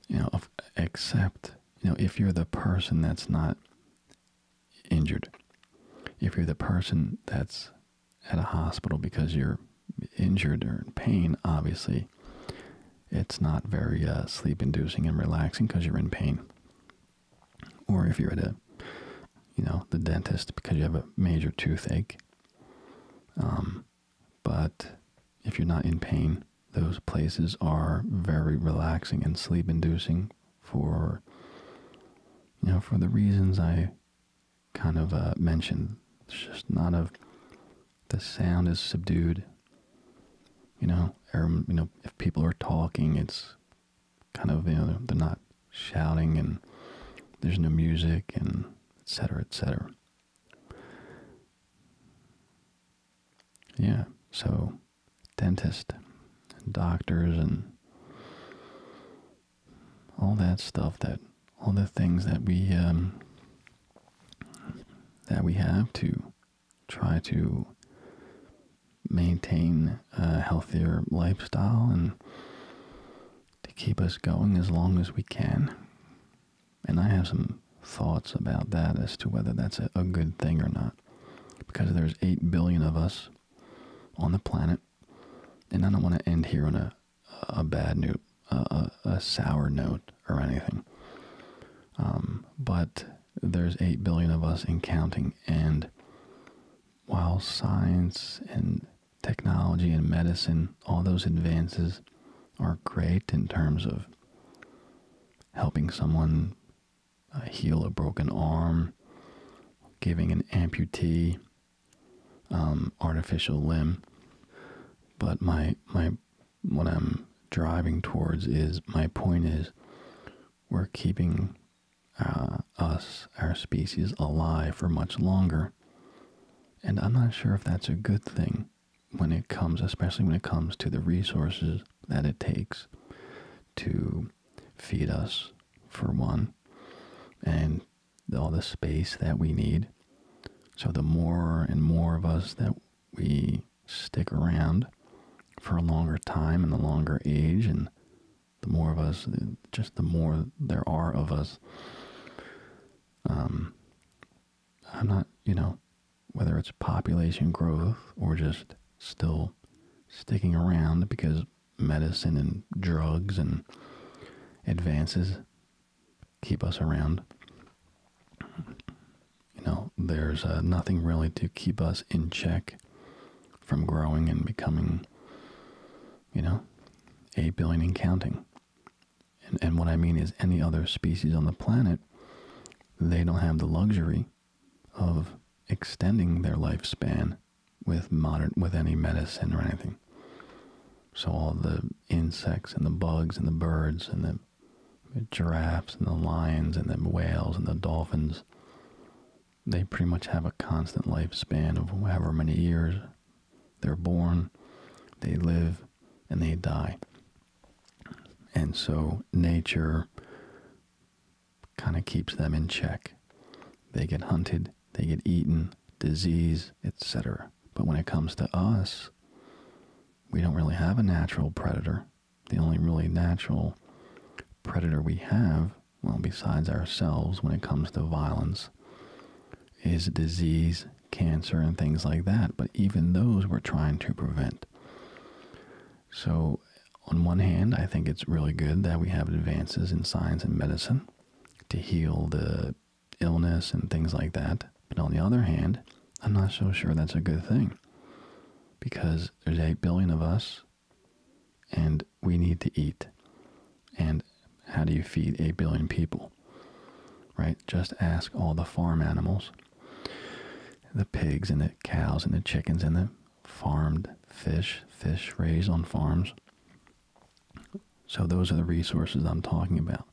you know, except you know if you're the person that's not injured, if you're the person that's at a hospital because you're injured or in pain, obviously it's not very uh, sleep inducing and relaxing because you're in pain. Or if you're at a, you know, the dentist because you have a major toothache. Um, but if you're not in pain, those places are very relaxing and sleep inducing for, you know, for the reasons I kind of uh, mentioned. It's just not a the sound is subdued. You know, or, you know, if people are talking, it's kind of you know they're not shouting and there's no music and etc. etc. Yeah, so dentists, and doctors, and all that stuff that all the things that we um, that we have to try to maintain a healthier lifestyle and to keep us going as long as we can. And I have some thoughts about that as to whether that's a, good thing or not. Because there's 8 billion of us on the planet, and I don't want to end here on a, a bad note a, sour note or anything. Um, but there's 8 billion of us and counting, and while science and technology and medicine, all those advances are great in terms of helping someone uh, heal a broken arm, giving an amputee um, artificial limb. But my my what I'm driving towards is my point is we're keeping uh, us, our species, alive for much longer. And I'm not sure if that's a good thing when it comes, especially when it comes to the resources that it takes to feed us, for one, and all the space that we need. So the more and more of us that we stick around for a longer time and a longer age and the more of us just the more there are of us um, i'm not you know whether it's population growth or just still sticking around because medicine and drugs and advances keep us around. You know, there's uh, nothing really to keep us in check from growing and becoming, you know, a billion and counting. And, and what I mean is, any other species on the planet, they don't have the luxury of extending their lifespan with modern with any medicine or anything. So all the insects and the bugs and the birds and the the giraffes and the lions and the whales and the dolphins, they pretty much have a constant lifespan of however many years they're born, they live, and they die. And so nature kind of keeps them in check. They get hunted, they get eaten, disease, etc. But when it comes to us, we don't really have a natural predator. The only really natural predator we have, well, besides ourselves when it comes to violence, is disease, cancer, and things like that. But even those we're trying to prevent. So, on one hand, I think it's really good that we have advances in science and medicine to heal the illness and things like that. But on the other hand, I'm not so sure that's a good thing because there's 8 billion of us and we need to eat. And how do you feed 8 billion people? Right? Just ask all the farm animals the pigs and the cows and the chickens and the farmed fish, fish raised on farms. So those are the resources I'm talking about.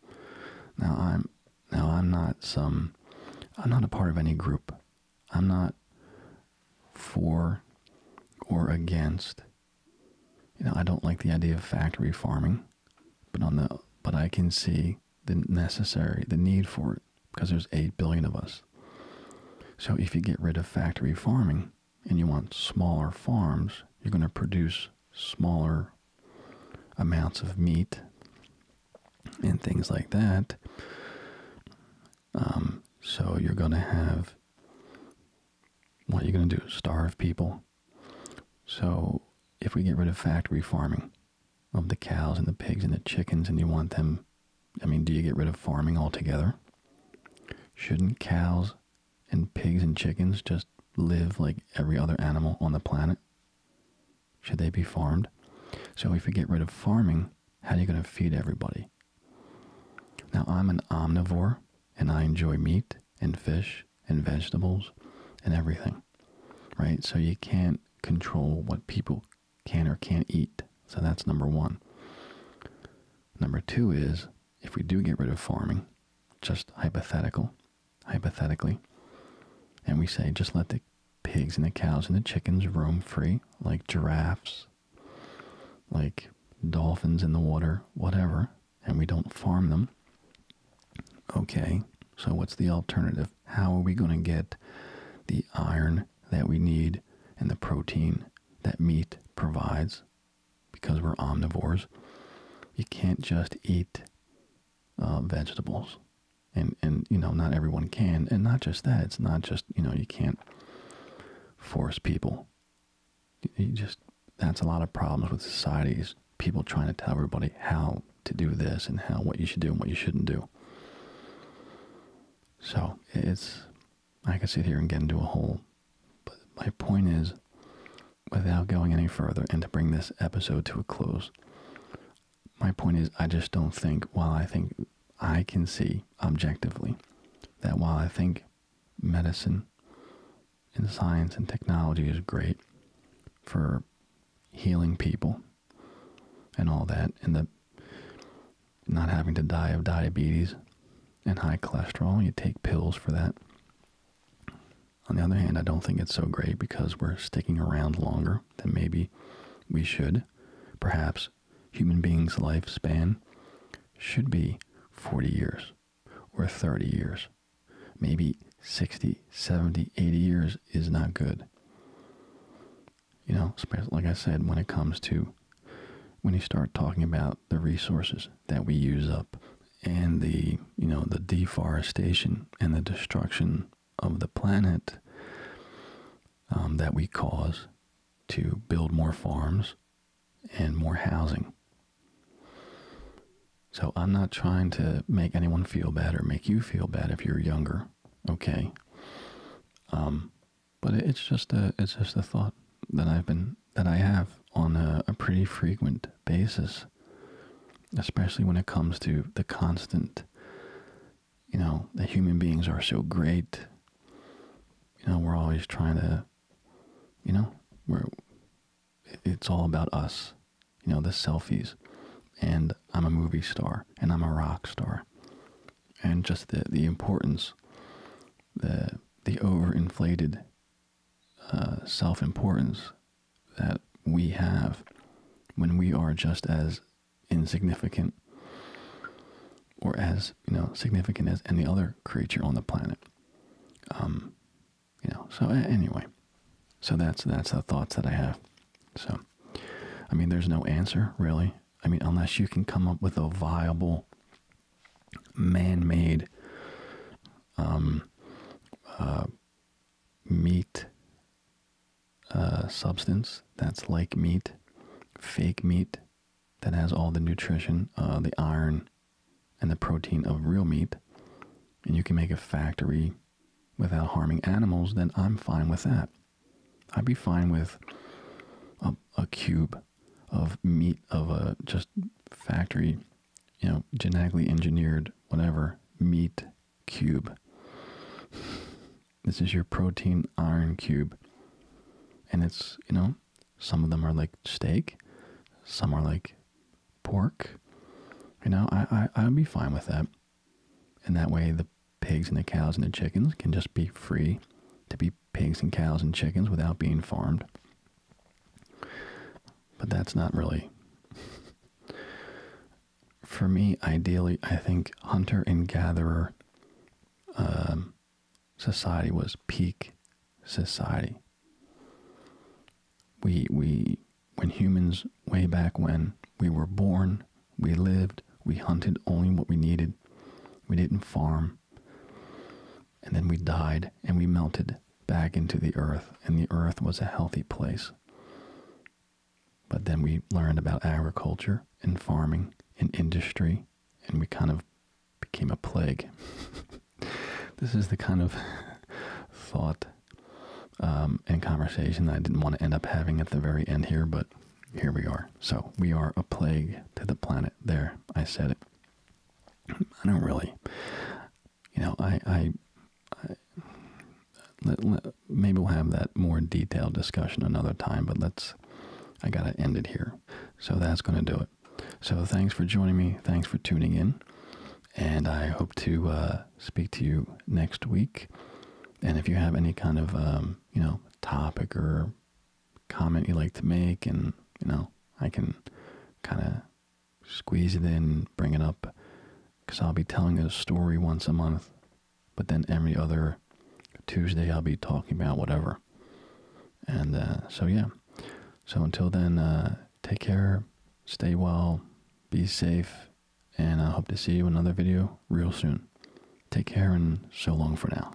Now I'm now I'm not some I'm not a part of any group. I'm not for or against. You know, I don't like the idea of factory farming, but on the but I can see the necessary the need for it because there's 8 billion of us. So if you get rid of factory farming and you want smaller farms, you're going to produce smaller amounts of meat and things like that. Um, so you're going to have what you're going to do is starve people. So if we get rid of factory farming of the cows and the pigs and the chickens and you want them, I mean, do you get rid of farming altogether? Shouldn't cows and pigs and chickens just live like every other animal on the planet? Should they be farmed? So if we get rid of farming, how are you going to feed everybody? Now, I'm an omnivore, and I enjoy meat and fish and vegetables and everything, right? So you can't control what people can or can't eat. So that's number one. Number two is if we do get rid of farming, just hypothetical, hypothetically, and we say just let the pigs and the cows and the chickens roam free, like giraffes, like dolphins in the water, whatever, and we don't farm them. Okay, so what's the alternative? How are we going to get the iron that we need and the protein that meat provides? Because we're omnivores. You can't just eat um, vegetables, and and you know not everyone can, and not just that. It's not just you know you can't force people. You just that's a lot of problems with societies. People trying to tell everybody how to do this and how what you should do and what you shouldn't do. So it's I can sit here and get into a hole, but my point is, without going any further and to bring this episode to a close, my point is, I just don't think, while I think I can see objectively that while I think medicine and science and technology is great for healing people and all that, and the not having to die of diabetes and high cholesterol, you take pills for that. On the other hand, I don't think it's so great because we're sticking around longer than maybe we should. Perhaps human beings' lifespan should be 40 years or 30 years. Maybe 60, 70, 80 years is not good. You know, like I said, when it comes to when you start talking about the resources that we use up and the, you know, the deforestation and the destruction of the planet um, that we cause to build more farms and more housing. So I'm not trying to make anyone feel bad or make you feel bad if you're younger, okay? Um, but it's just a it's just a thought that I've been that I have on a pretty frequent basis, especially when it comes to the constant, you know, the human beings are so great. You know, we're always trying to, you know, we're, it's all about us, you know, the selfies. And I'm a movie star and I'm a rock star. And just the, the importance, the, the overinflated uh, self importance that we have when we are just as insignificant or as you know significant as any other creature on the planet um you know so anyway so that's that's the thoughts that i have so i mean there's no answer really i mean unless you can come up with a viable man-made um uh meat uh, substance that's like meat, fake meat that has all the nutrition, uh, the iron, and the protein of real meat, and you can make a factory without harming animals, then I'm fine with that. I'd be fine with a cube of meat of a just factory, you know, genetically engineered whatever meat cube. This is your protein iron cube. And it's, you know, some of them are like steak, some are like pork. You know, I, I, I'd be fine with that. And that way the pigs and the cows and the chickens can just be free to be pigs and cows and chickens without being farmed. But that's not really for me, ideally, I think hunter and gatherer um, society was peak society. We we when humans way back when we were born, we lived, we hunted only what we needed. We didn't farm. And then we died and we melted back into the earth, and the earth was a healthy place. But then we learned about agriculture and farming and industry, and we kind of became a plague. this is the kind of thought um, and conversation that I didn't want to end up having at the very end here, but here we are. So we are a plague to the planet. There, I said it. I don't really you know, I, I, I maybe we'll have that more detailed discussion another time, but let's, I got to end it here. So that's going to do it. So thanks for joining me. Thanks for tuning in. And I hope to uh, speak to you next week. And if you have any kind of, um, you know, topic or comment you like to make, and, you know, I can kind of squeeze it in, bring it up because I'll be telling a story once a month, but then every other Tuesday I'll be talking about whatever. And uh, so, yeah. So until then, uh, take care, stay well, be safe, and I hope to see you another video real soon. Take care and so long for now.